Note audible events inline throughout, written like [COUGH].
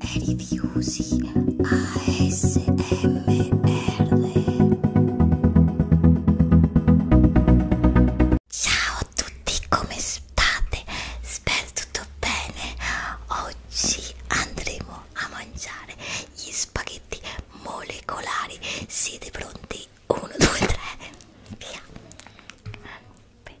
Rifiusi ASMR Ciao a tutti, come state? Spero tutto bene. Oggi andremo a mangiare gli spaghetti molecolari. Siete pronti? 1, 2, 3, via! Bene.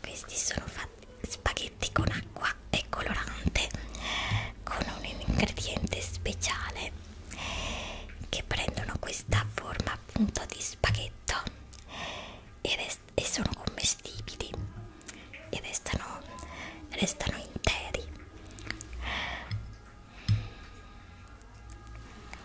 questi sono fatti spaghetti con acqua e colorante con un ingrediente speciale che prendono questa forma appunto di spaghetto e, e sono commestibili e restano, restano interi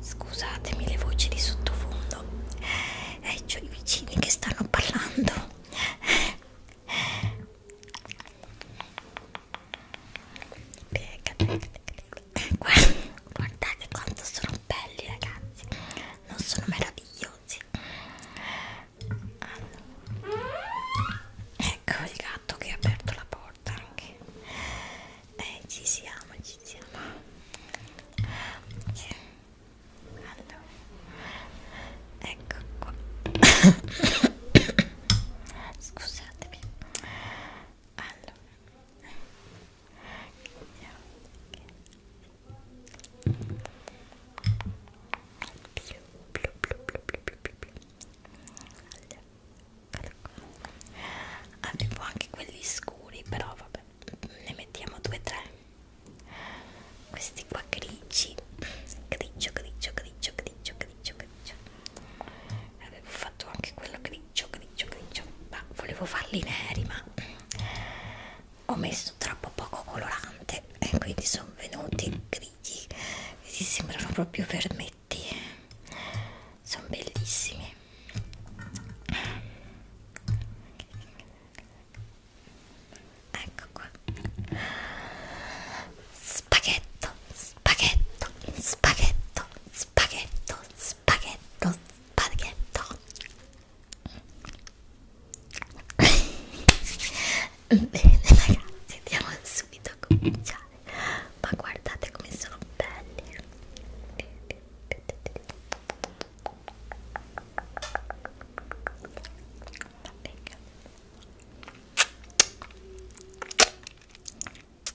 Scusatemi le voci di sottofondo, eh, c'ho i vicini che stanno parlando. Pecca, pecca, guardate quanto sono belli ragazzi non sono meravigliosi ecco il gatto che ha aperto la porta anche eh, ci siamo ci siamo allora ecco qua [COUGHS] scusatemi allora Avevo anche quelli scuri, però vabbè, ne mettiamo due o tre. Questi qua grigi, grigio, grigio, grigio, grigio, grigio, grigio. Avevo fatto anche quello che grigio grigio grigio ma volevo farli neri ma ho messo troppo poco colorante e quindi sono venuti grigi e si sembrano proprio vermetti sono bellissimi ecco qua spaghetto spaghetto spaghetto spaghetto spaghetto spaghetto spaghetto bene ragazzi andiamo subito a cominciare ma guardate come sono belli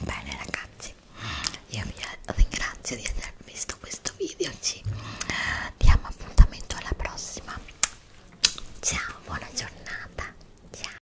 Bene ragazzi, io vi ringrazio di aver visto questo video, ci diamo appuntamento alla prossima. Ciao, buona giornata. Ciao.